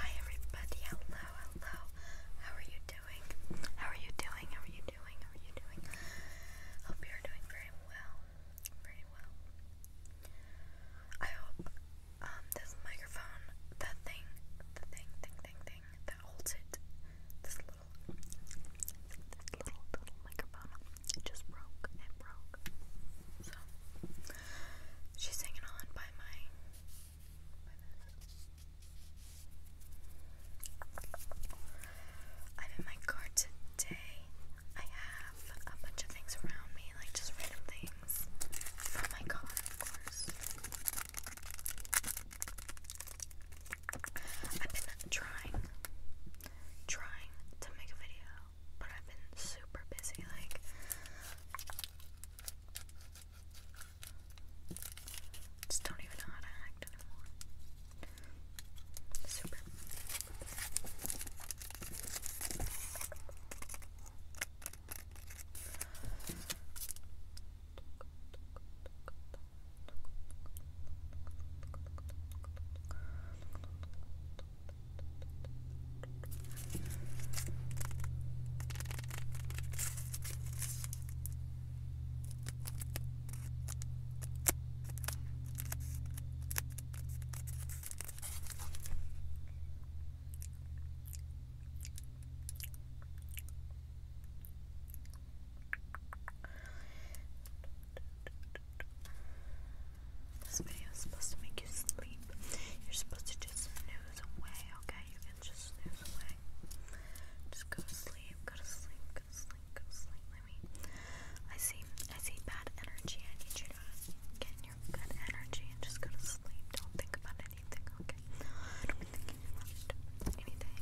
Hi everybody, hello, hello. How are you doing? How are you doing? How are you doing? How are you doing? Hope you're doing very well. Very well. I hope um, this microphone, the thing, the thing, thing, thing, thing that holds it, this little this little little microphone it just broke. It broke. So She's hanging on by my. I'm in my car today. I have a bunch of things around me, like just random things from oh my car, of course. I've been trying, trying to make a video, but I've been super busy. Like, just don't even know how to act anymore. Super. This video is supposed to make you sleep. You're supposed to just snooze away, okay? You can just snooze away. Just go to sleep, go to sleep, go to sleep, go to sleep. Let me. I see, I see bad energy. I need you to get in your good energy and just go to sleep. Don't think about anything, okay? Don't be thinking about it. anything.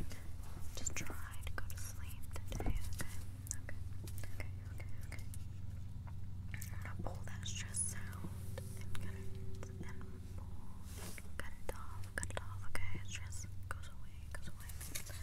Just try to go to sleep today, okay? Okay, okay, okay, okay pull that stress out and cut it off, cut it off, okay? Stress goes away, goes away, goes away.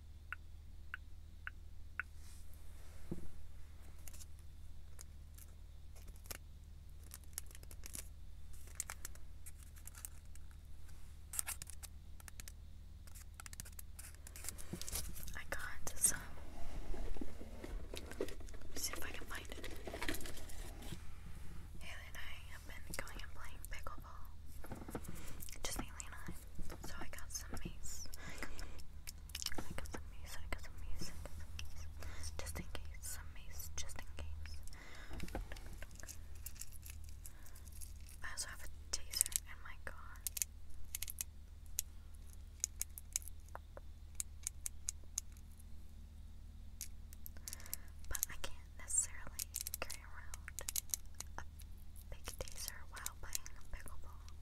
I got some. see if I can find it. Haley and I have been going and playing pickleball. Just Haley and I. So I got some mace. Just in case, some mace, just in case. I also have a taser in my car. But I can't necessarily carry around a big taser while playing a pickleball.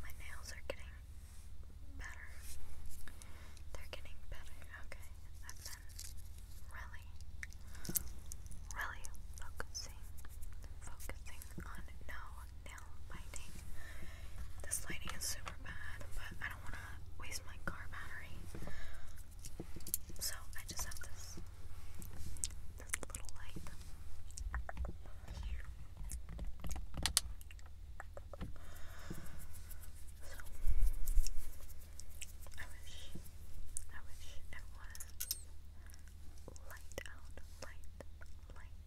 My nails are getting better. They're getting better. Okay, I've been really, really focusing, focusing on no down lighting. This lighting is super bad, but I don't want to waste my car battery. So I just have this, little light. So I wish, I wish it was light out, light, light,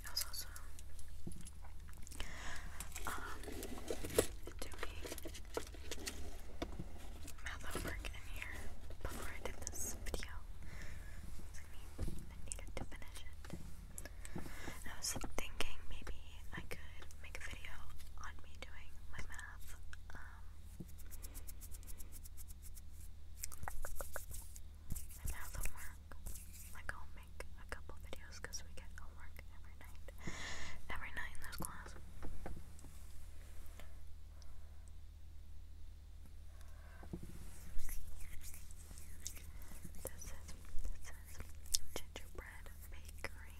I was also um, doing math homework in here before I did this video. I needed to finish it. I was thinking maybe I could make a video on me doing my math. Um, my math homework. Like, I'll make a couple videos because we get homework every night. Every night in this class. This is this is gingerbread bakery.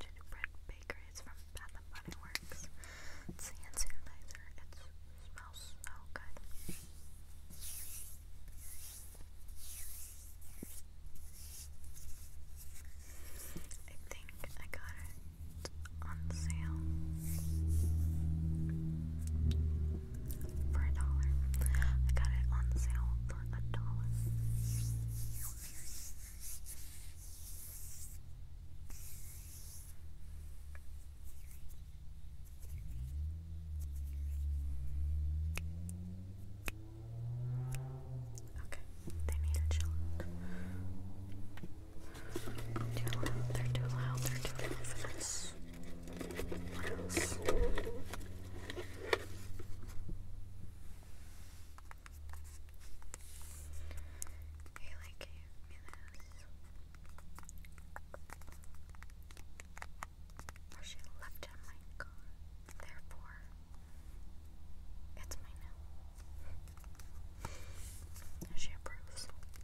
Gingerbread bakery is from Bath and Body Works. It's hand sanitizer. It smells so good. I think I got it on sale for a dollar. I got it on sale for a dollar. Okay, they need a chill. Too loud, they're too loud, they're too infamous. What else? He gave me this. Or she left him my car. Therefore, it's mine now. she approves.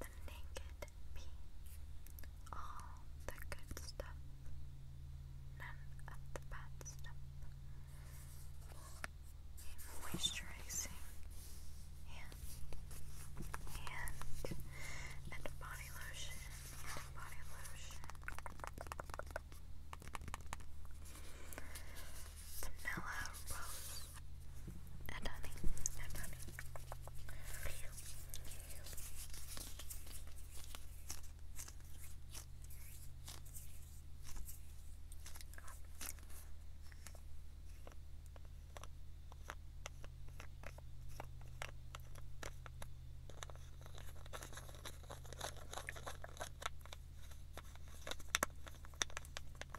the naked peace, all the good stuff, none of the bad stuff, a moisturizing and and and body lotion body lotion. Vanilla rose and honey, and honey.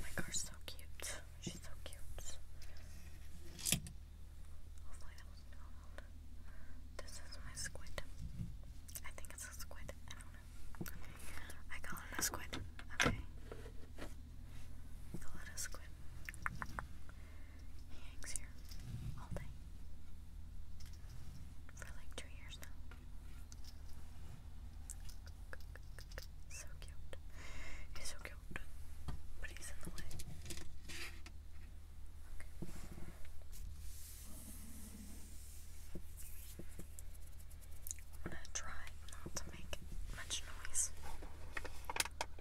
My car's so cute. She's so cute. Hopefully that wasn't This is my squid. I think it's a squid. I don't know. I call it a squid. Okay. Call it a squid. He hangs here all day. For like two years now. So cute. He's so cute. But he's in the way. I'm gonna try not to make much noise.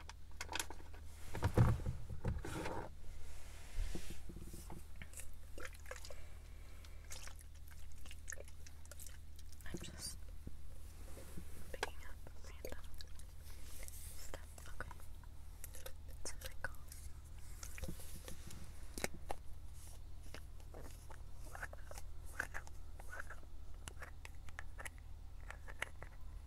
I'm just picking up random stuff. Okay. It's really cool.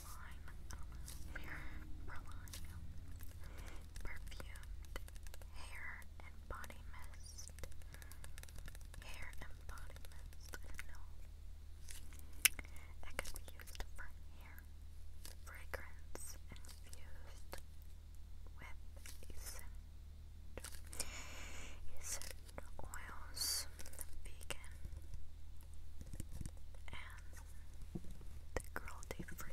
Perline, Perline, perfumed hair and body mist, hair and body mist. It can be used for hair fragrance infused with essential, essential oils, vegan and the girl did free.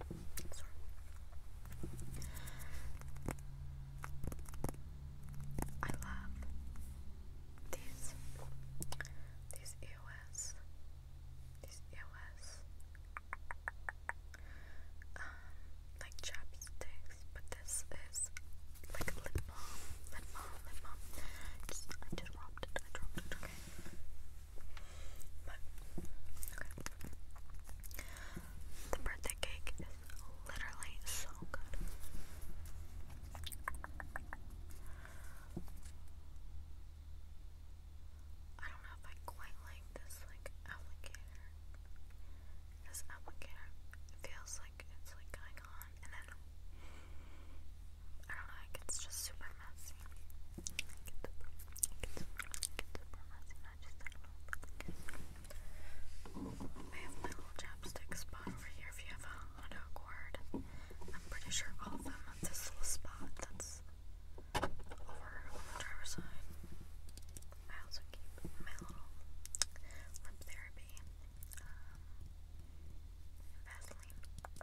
Sorry. I love these these EOS these EOS um like chapsticks but this is like lip balm lip balm lip balm just, I just dropped it I dropped it okay but okay. The birthday cake is literally so good. I don't know if I quite like this like applicator. This applicator feels like it's like going on and then I don't know it's just super messy. I have my little chapstick spot over here. If you have a hot cord, I'm pretty sure all of them have this little spot that's over on the driver's side. I also keep my little lip therapy. Um, Vaseline.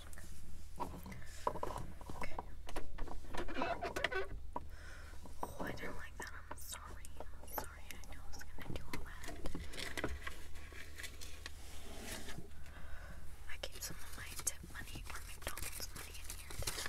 Okay. Oh, I didn't like that. I'm sorry. I'm sorry. I know I was gonna do all that. I keep some of my tip money or McDonald's money in here too.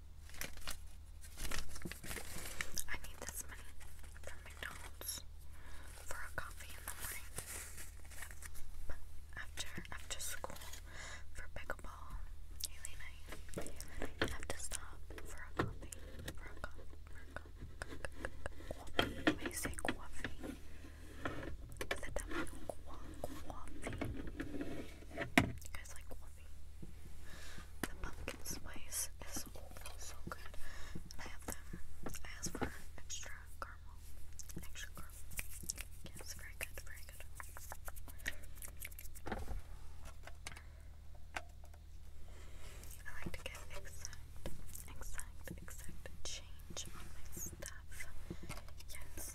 I need this money from McDonald's for a coffee in the morning. But after after school for pickleball, Haley and I, have to stop for a coffee. For a coffee. For a coffee. you coffee? You guys like coffee? The pumpkin spice is also so good. I have them. I for extra caramel. Extra caramel. Yeah, very good, very good. I like to get exact, exact, exact change on my stuff. Yes.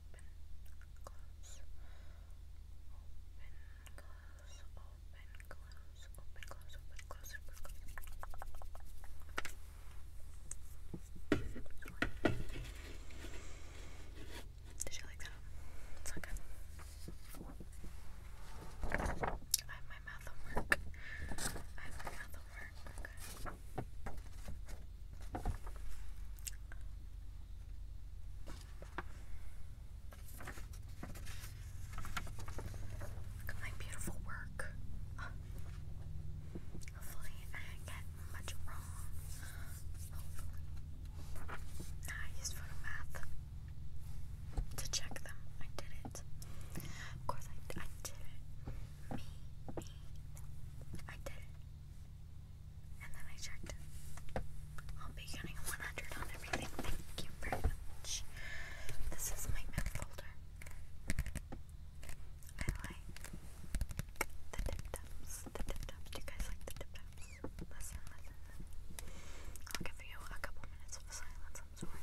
open, Did you like that? It's I have my mouth on I have my mouth on Look at my beautiful work. hopefully, I didn't get much wrong. I used photo to check them. I did it. Of course, I, I did it. Me, me, I did it. And then I checked. I'll be getting 100 on everything. Thank you very much. This is my map folder. I like the tip The tip Do you guys like the tip listen, listen. I'll give you a couple minutes of silence. I'm sorry.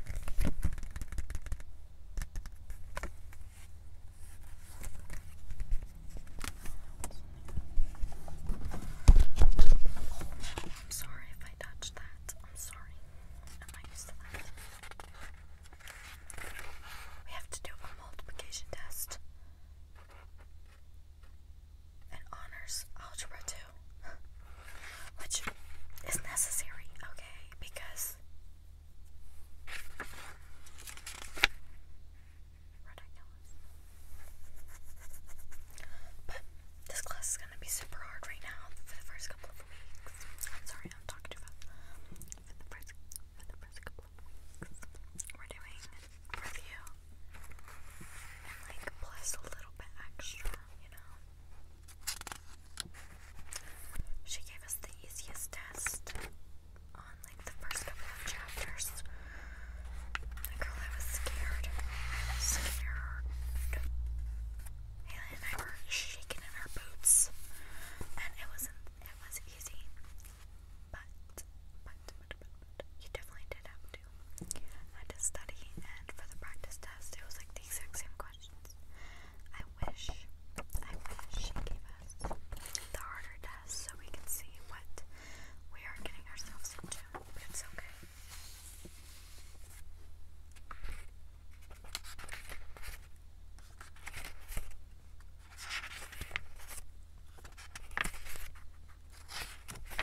I'm sorry if I touched that. I'm sorry. am not used to that. We have to do a multiplication test. It honors algebra too. which is necessary, okay? Because but this class is gonna be super hard right now for the first couple of weeks. sorry, I'm talking too For the first, for the first couple of weeks, we're doing review and like plus a little bit extra, you know. She gave us the easiest test on like the first couple of chapters. The girl, I was scared. I was scared. Haley and I were shaking in our boots, and it wasn't. It was easy, but but but but, you definitely did have had to study, and for the practice test, it was like the exact same questions. I wish, I wish she gave us the harder test so we can see what we are getting ourselves into. But it's Okay,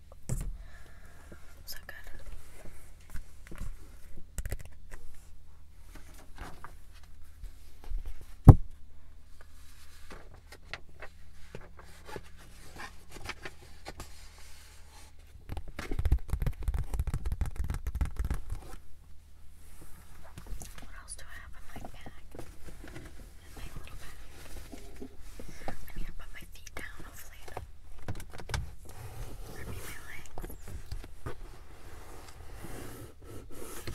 So good. What else do I have in my bag? In my little bag. I need to put my feet down, hopefully let me relax. Let's see.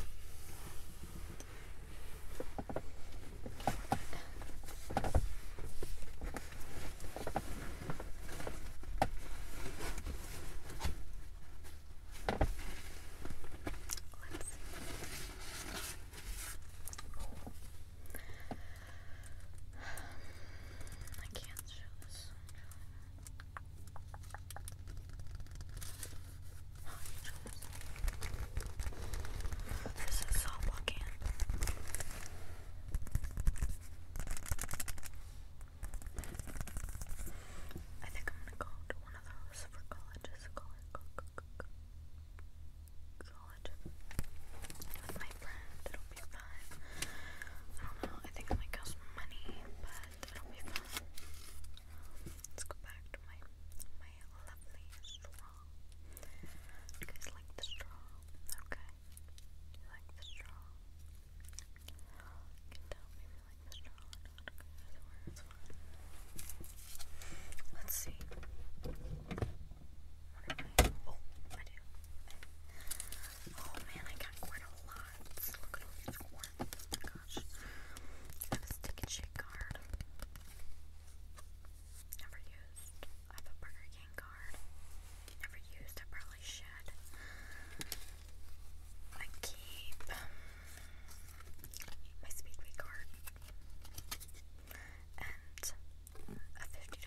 I can't show this. Oh, you chose. This is so looking. I think I'm gonna go to one of those for colleges. College, college, college with my friend. It'll be fun. I don't know. I think it might cost money, but it'll be fun. Let's go back to my my lovely straw. You guys like the straw? Okay. You like the straw? You tell me if you like the straw Let's see. What am Oh, man, I got quite a lot. Look at all these corns. gosh. I have a stick and card. Never used. I have a Burger King card. Never used. I probably should. I keep my Speedway card. And a fifty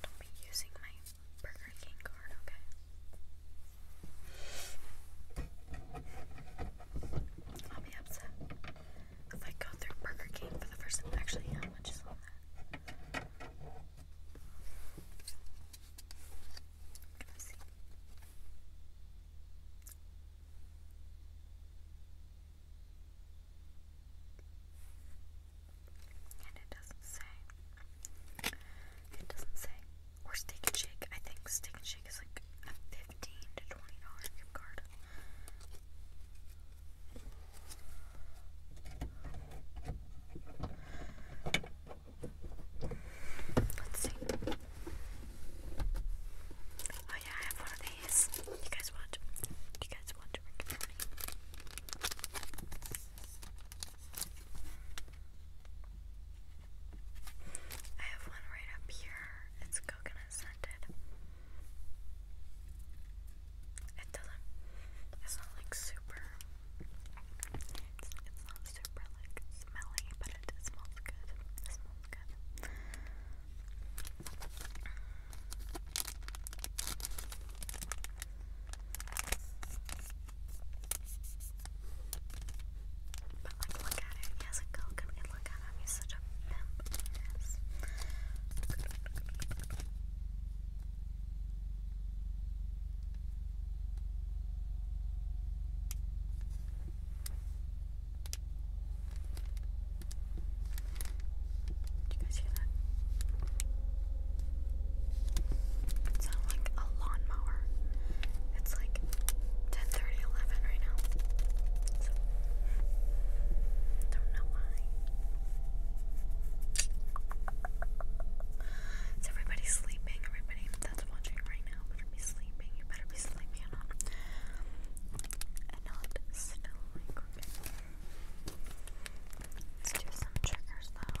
Don't be using my Burger King card, okay? I'll be upset if I go through Burger King for the first time. Actually, how much is on that? And it doesn't say. It doesn't say. Or Steak and Shake. I think Steak and Shake is like a fifteen to twenty dollar gift card. Let's see. Oh yeah, I have one of these. You guys want? You guys want to Rick and I have one right up here. It's coconut scented. It doesn't, it's not like super, it's, not super like smelly, but it, smells good. It smells good. But like look at it, it has a coconut, mean, you guys hear that? It sounds like a lawnmower. It's like 10 30, right now. Don't know why. Is everybody sleeping? Everybody that's watching right now better be sleeping. You better be sleeping and not, and Let's do some triggers though.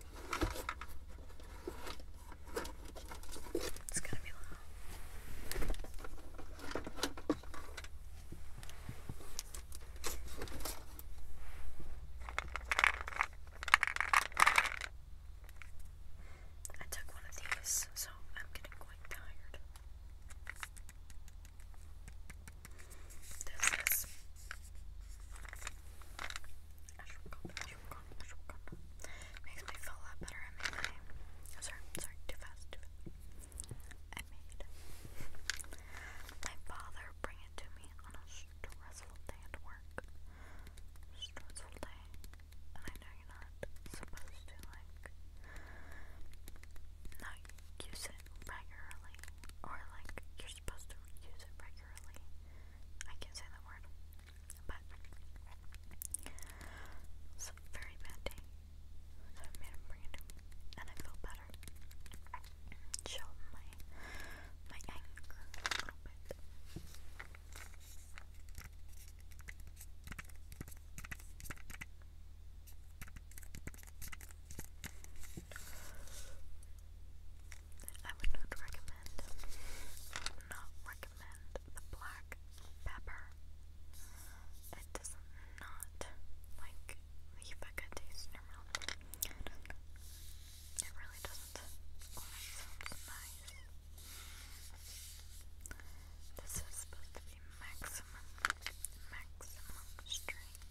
It's gonna be loud. I took one of these, so I'm getting quite tired. This Makes me feel a lot better. sorry, sorry, too fast, I made my father bring it to me on a stressful day at work. Stressful day, I know you're not supposed to like not use it regularly or like you supposed to use it regularly. I can't say that word, but it's a very bad day. So I made him bring it and I feel better. Chill my my anger a little bit. I would not recommend, not recommend the black pepper. It does not like leave a good taste in your mouth. It really doesn't. This is supposed to be maximum, maximum strength.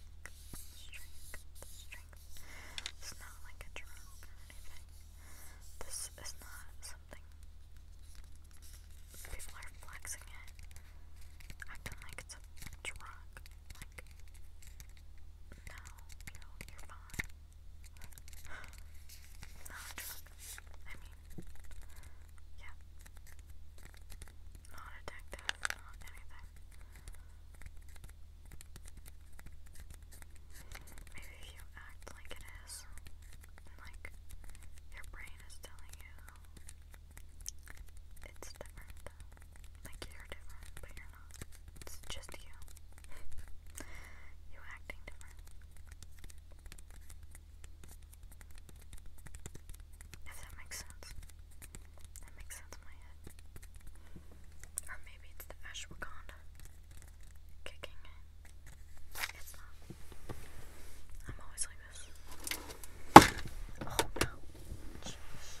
It's not like a drone or anything. This is not something people are flexing it. Acting like it's a drug. no, you are fine. Not a drug. I mean yeah. Not addictive, not anything. Maybe if you act like it is, like your brain is telling you it's different. Like you're different, but you're not. It's just you. you acting different. If that makes sense. That makes sense in my head. Or maybe it's the ashwagandha kicking in. It's not. I'm always like this. Oh no. Jeez.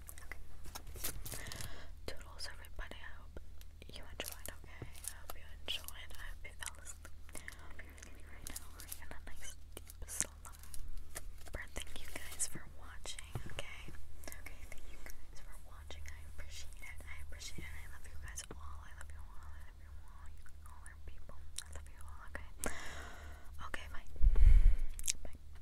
Toodles, everybody. I hope you enjoyed, okay? I hope you enjoyed. I hope you fell asleep. I hope you're feeling right now. We're in a nice deep slumber. Thank you guys for watching, okay? Okay, thank you guys for watching. I appreciate it. I appreciate it. I love you guys all. I love you all. I love you all. You all are people. I love you all, okay? Okay, bye. Bye.